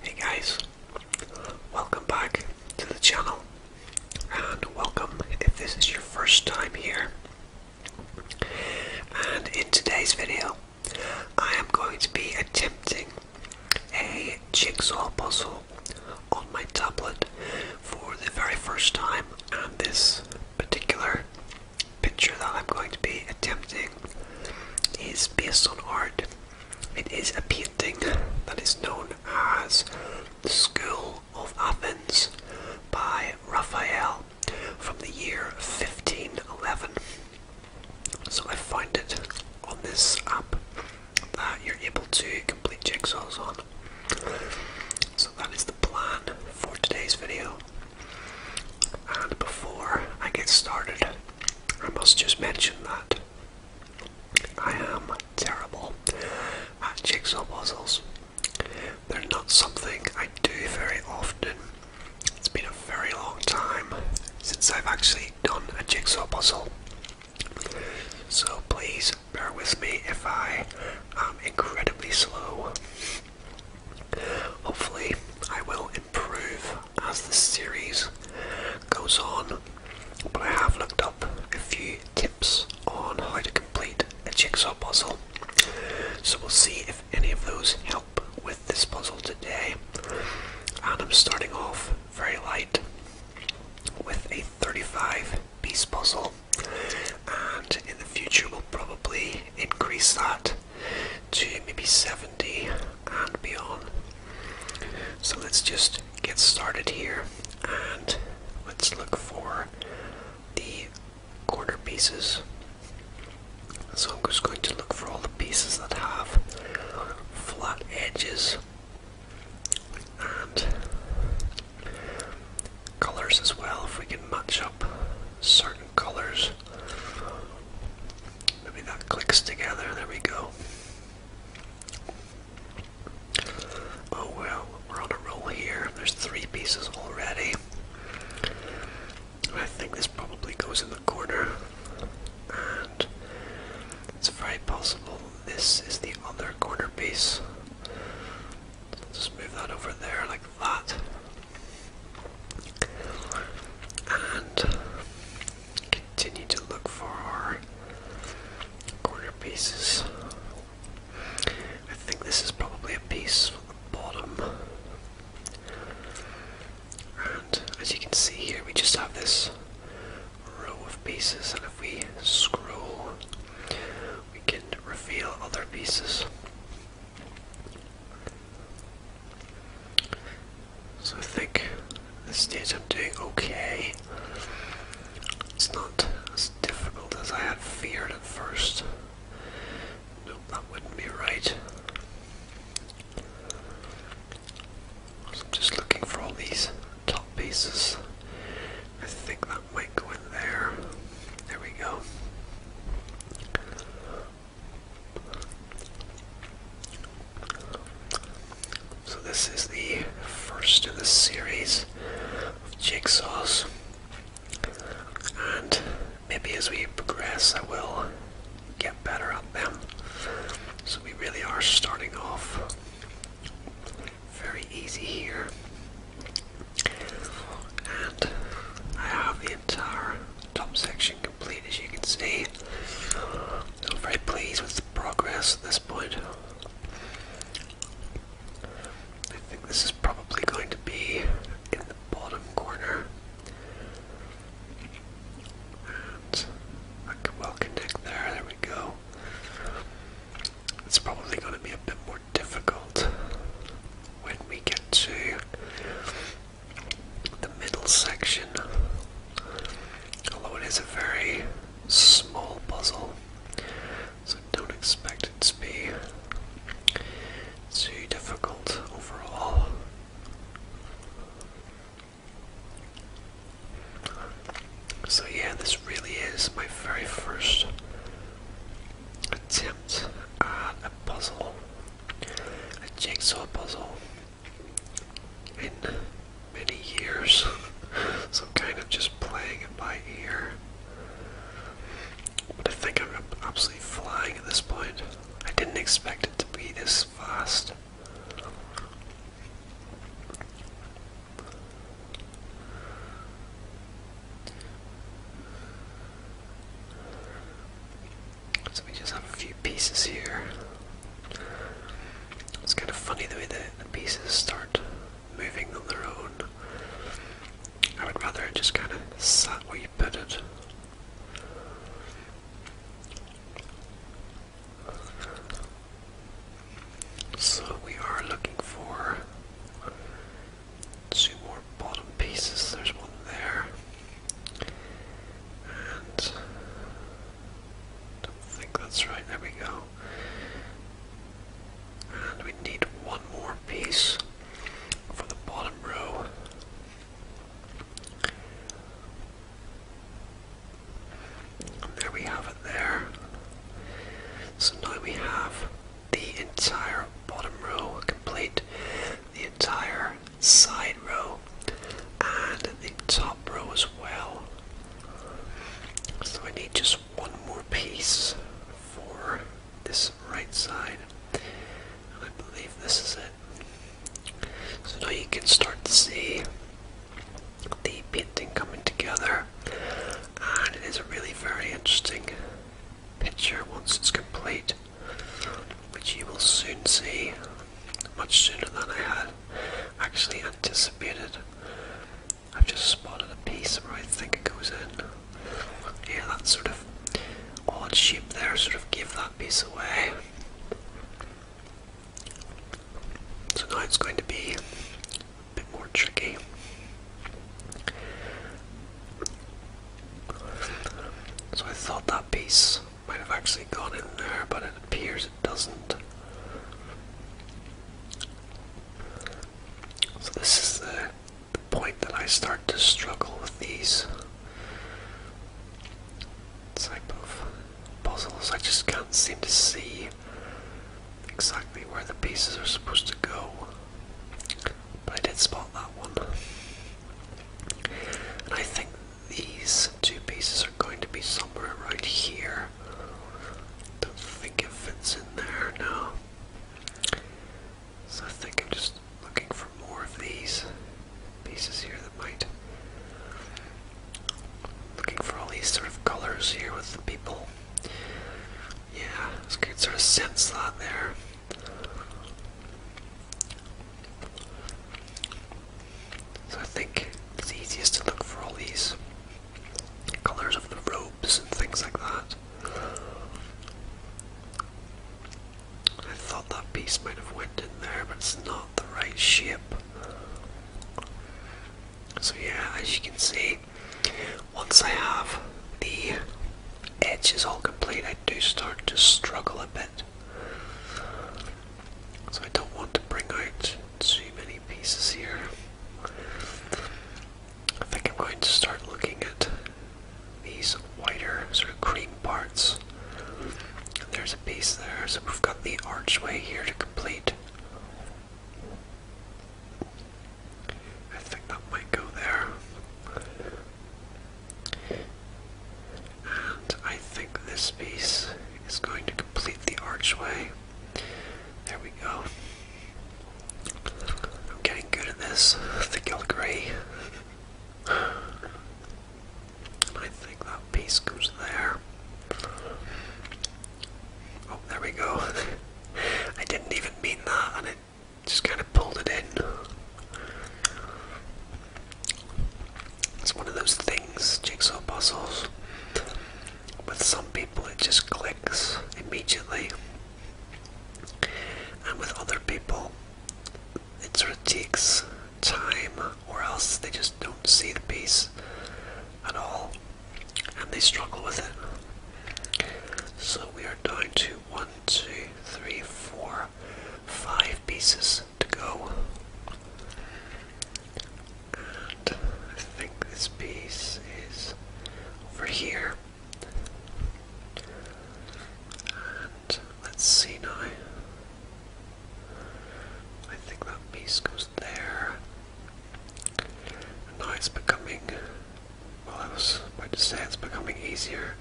Hey guys, welcome back to the channel and welcome if this is your first time here. And in today's video, I am going to be attempting a jigsaw puzzle on my tablet for the very first time and this particular picture that I'm going to be attempting is based on art it is a painting that is known as The School of Athens by Raphael from the year 1511. So I found it on this app that you're able to complete jigsaw on. So that is the plan for today's video. And before I get started, I must just mention that I am terrible at jigsaw puzzles. They're not something I do very often. It's been a very long time since I've actually done a jigsaw puzzle. So please bear with me if I am incredibly slow. Hopefully, I will improve as the series goes on, but I have looked up a few tips on how to complete a jigsaw puzzle. So we'll see if any of those help with this puzzle today. And I'm starting off very light with a 35 piece puzzle, and in the future we'll probably increase that to maybe 70 and beyond. So let's just get started here and let's look for the corner pieces. So I'm just going to look for all the pieces that have flat edges and colors as well if we can match up certain colors Maybe that clicks together. There we go. Oh well, we're on a roll here. There's three pieces already. I think this probably goes in the corner. And it's very possible this is the other corner piece. So just move that over there like that and continue to look for corner pieces. I think this is probably a piece from the bottom. And as you can see here, we just have this row of pieces, and if we scroll, we can reveal other pieces. So I think this stage I'm doing okay. It's not as difficult as I had feared at first. Nope, that wouldn't be right. just looking for all these top pieces. I think that might go in there. There we go. So this is the first of the series of jigsaws, and maybe as we progress, I will get better at them. So we really are starting off very easy here, and I have the entire Top section complete as you can see. I'm very pleased with the progress at this point. I think this is probably going to be in the bottom corner. I can well connect there, there we go. It's probably going to be a bit more difficult when we get to the middle section. Although it is a very small puzzle, so don't expect it to be too difficult overall. So, yeah, this really is my very first attempt at a puzzle a jigsaw puzzle in many years. so I'm kind of just playing it by ear. But I think I'm absolutely flying at this point. I didn't expect it to be this fast. So we just have a few pieces here. It's kind of funny the way the, pieces start moving on their own. I would rather just kind of sat where you put it. So we are looking for two more bottom pieces. There's one there. And do think that's right. There we go. And we need one more piece for the bottom row. there we have it there. So now we have the entire bottom row complete, the entire side row, and the top row as well. So I need just one more piece for this right side. I believe this is it. So now you can start to see the painting coming together and it is really very interesting picture once it's complete, which you will soon see, much sooner than I had actually anticipated. I've just spotted a piece where I think it goes in. Yeah, that sort of odd shape there sort of gave that piece away. So now it's going to be a bit more tricky. So I thought that piece might have actually gone in there, but it appears it doesn't. So this is the, point that I start to struggle with these type of puzzles. I just can't seem to see exactly where the pieces are supposed to go but I did spot that one. And I think these two pieces are going to be somewhere around here. Don't think it fits in there No, So I think I'm just looking for more of these pieces here that might. Looking for all these sort of colors here with the people. Yeah, it's good sort of sense slot there. So I think it's easiest to look for all these colors of the robes and things like that. I thought that piece might have went in there, but it's not the right shape. So yeah, as you can see, once I have the edges all complete, I do start to struggle a bit. So I don't want to bring out too many pieces here. I think I'm going to start looking at these wider sort of cream parts. There's a piece there, so we've got the archway here to complete. I think that might go there. And I think this piece is going to complete the archway. There we go. I'm getting good at this. I think you'll agree. I think that piece goes there. Oh, there we go. I didn't even mean that, and it just kind of pulled it in. It's one of those things, jigsaw puzzles. With some people, it just clicks immediately, and with other people, it sort of takes time, or else they just don't see the piece at all and they struggle with it. So we are down to one, two, three, four, five pieces to go. And I think this piece is over here. And let's see now. I think that piece goes there now it's becoming, well, I was about to say it's becoming easier.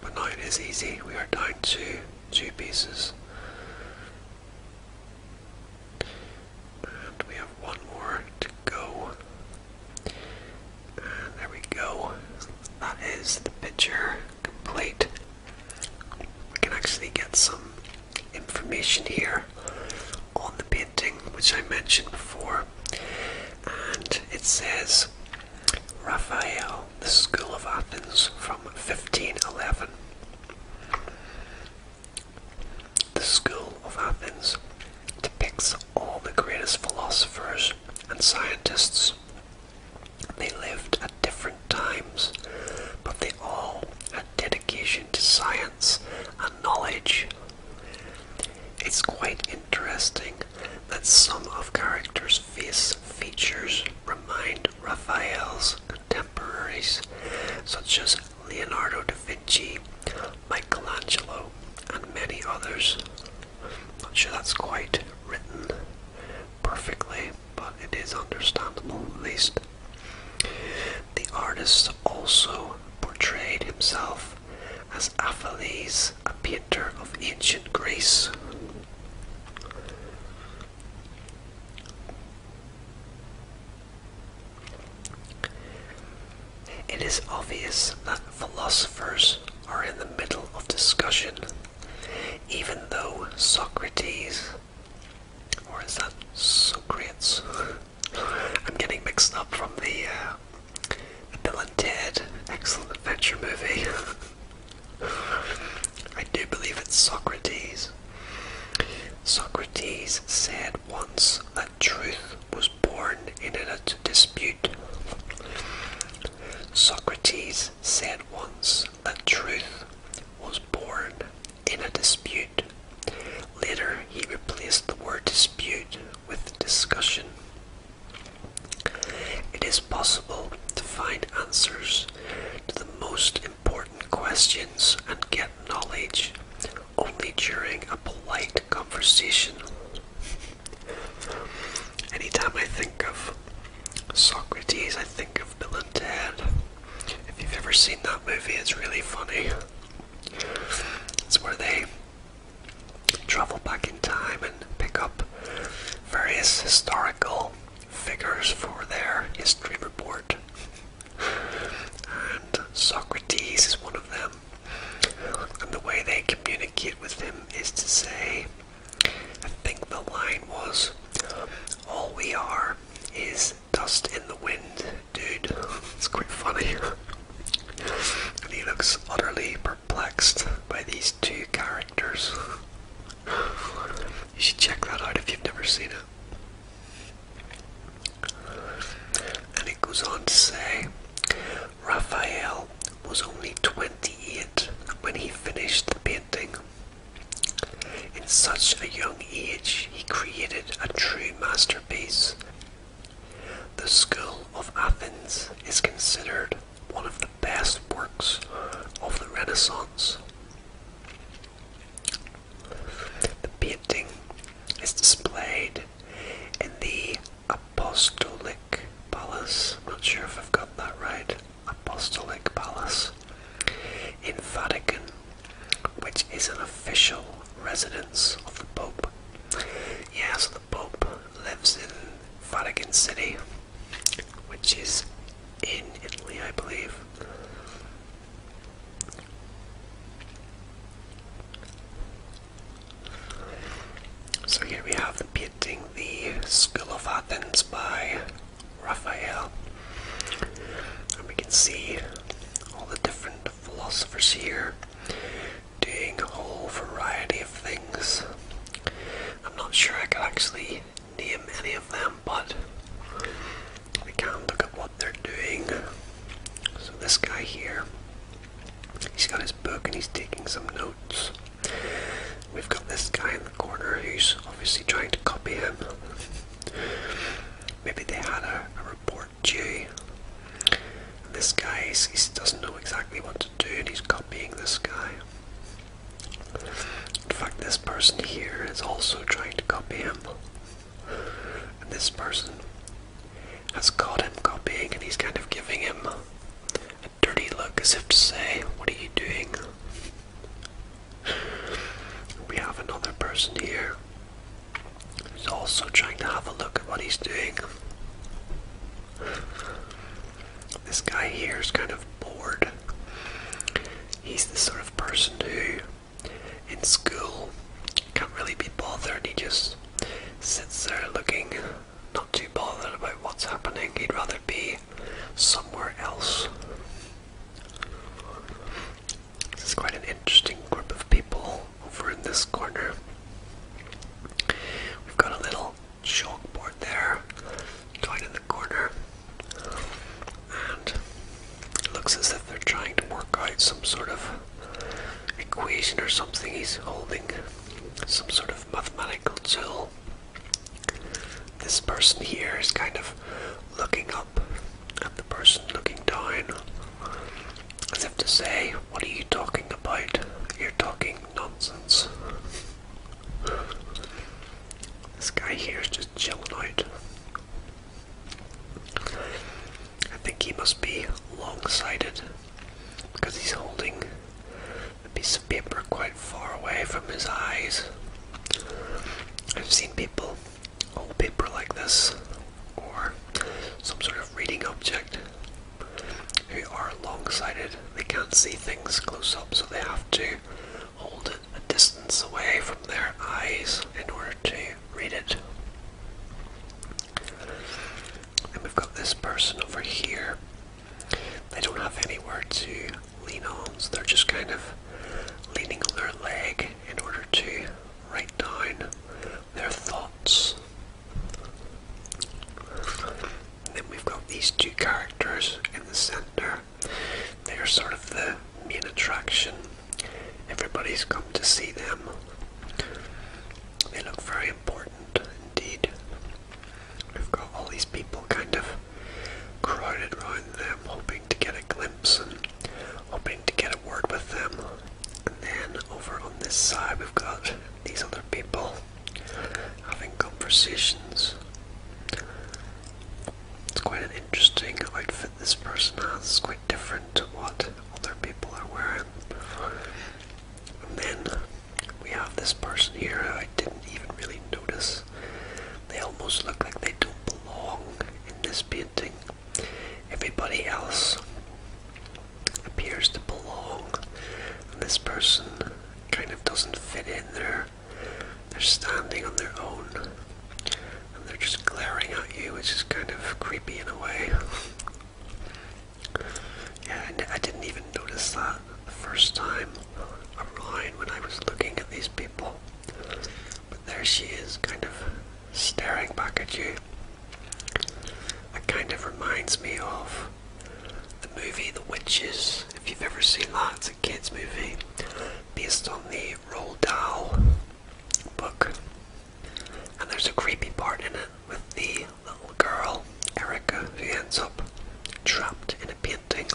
But now it is easy. We are down to two pieces. And we have one more to go. And there we go. That is the picture complete we can actually get some information here on the painting which I mentioned before and it says Raphael, the School of Athens from 1511. The School of Athens depicts all the greatest philosophers and scientists. They lived at different times, but they all had dedication to science and knowledge. It's quite interesting that some of characters' face features remind Raphael's contemporaries, such as Leonardo da Vinci, Michelangelo, and many others. Not sure that's quite written perfectly but it is understandable at least. The artist also portrayed himself as Apheles, a painter of ancient Greece. It is obvious that philosophers are in the middle of discussion, even though Socrates or is that Socrates? I'm getting mixed up from the, uh, Bill and Ted Excellent Adventure movie. I do believe it's Socrates. Socrates said once that truth was born in a dispute. Socrates said once a truth was born in a dispute. Later, he replaced the word dispute with discussion. It is possible to find answers to the most important questions and get knowledge only during a polite conversation. Anytime I think of Socrates, I think of Bill and Ted. If you've ever seen that movie, it's really funny. It's where they travel back in time and pick up various historical figures for their history report. And Socrates is one of them. And the way they communicate with him is to say, I think the line was, all we are is dust in the wind, dude. It's quite funny. and he looks utterly perplexed by these two characters. You should check that out if you've never seen it. And it goes on to say Raphael was only 28 when he finished the painting. In such a young age, he created a true masterpiece. The School of Athens is considered one of the best works of the Renaissance. The painting is displayed in the Apostolic Palace. I'm not sure if I've got that right. Apostolic Palace in Vatican, which is an official residence of the Pope. Yes, the Pope lives in Vatican City, which is in Italy, I believe. So here we have the painting the School of Athens by Raphael. And we can see all the different philosophers here doing a whole variety of things. I'm not sure I can actually name any of them, but we can look at what they're doing. So, this guy here, he's got his book and he's taking some notes. We've got this guy in the corner who's obviously trying to copy him. Maybe they had a, report due. this guy he doesn't know exactly what to do and he's copying this guy. In fact, this person here is also trying to copy him. And this person has caught him copying and he's kind of giving him a dirty look as if to say, What are you doing? We have another person here who's also trying to have a look at what he's doing. This guy here is kind of bored. He's the sort of person who, in school, can't really be bothered. He just sits there looking not too bothered about what's happening, he'd rather be somewhere else. This is quite an interesting group of people over in this corner. We've got a little chalkboard there, down in the corner, and looks as if they're trying to work out some sort of equation or something. He's holding some sort of mathematical tool this person here is kind of looking up at the person looking down, as if to say, What are you talking about? You're talking nonsense. This guy here is just chilling out. I think he must be long sighted because he's holding a piece of paper quite far away from his eyes. I've seen people hold paper like this or some sort of reading object who are long-sighted. They can't see things close up so they have to hold it a distance away from their eyes in order to read it. And we've got this person over here they don't have anywhere to lean on, so they're just kind of leaning on their leg in order to write down their thoughts. then we've got these two characters in the centre. They are sort of the main attraction. Everybody's come to see them. They look very important indeed. We've got all these people kind of crowded around them, hoping to get a glimpse and hoping to get a word with them. And then over on this side, we've got these other people having conversations. It's quite an interesting outfit this person has, it's quite different to what other people are wearing. And then we have this person here I didn't even really notice. They almost look like they don't belong in this painting. Everybody else appears to belong. this person kind of doesn't fit in there. They're standing on their own. And they're just glaring at you, It's just kind of creepy in a way. Yeah, and I didn't even notice that the first time online when I was looking at these people. But there she is, kind of staring back at you. That kind of reminds me of the movie The Witches, if you've ever seen lots of kids' movie based on the Roald Dahl book. And there's a creepy part in it with the little girl, Erica, who ends up trapped in a painting.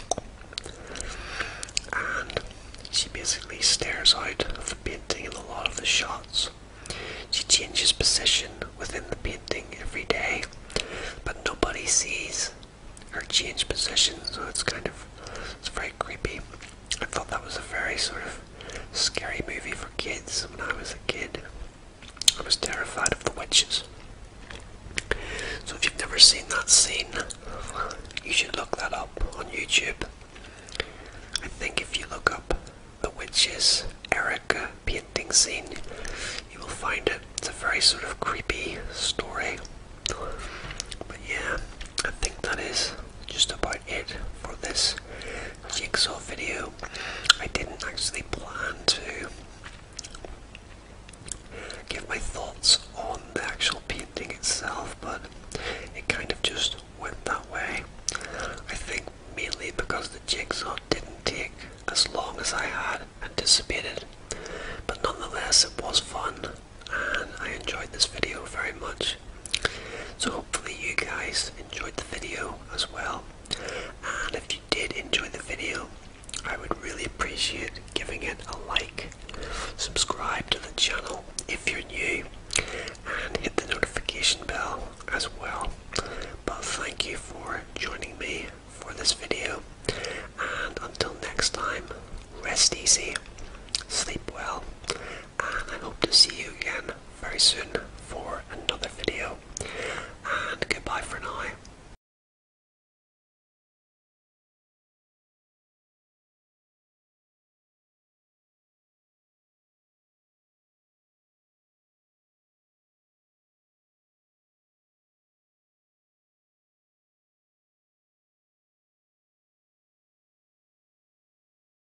And she basically stares out of the painting in a lot of the shots. She changes position within the painting every day, but nobody sees her change position, so it's kind of it's very creepy. I thought that was a very sort of scary movie for kids when I was a kid. I was terrified of the witches. So if you've never seen that scene, you should look that up on YouTube. I think if you look up the witches Erica painting scene, you will find it. It's a very sort of creepy story. But yeah, I think that is just about it for this jigsaw video. I didn't actually plan to give my thoughts on the actual painting itself, but it kind of just went that way. I think mainly because the jigsaw didn't take as long as I had anticipated, but nonetheless, it was fun and I enjoyed this video very much. So, hopefully, you guys enjoyed the video as well. And if you did enjoy the video, I would really appreciate giving it a like. Subscribe to the channel if you're new and hit the notification bell as well. But thank you for joining me for this video. And until next time, rest easy, sleep well, and I hope to see you again very soon for another video. And goodbye for now.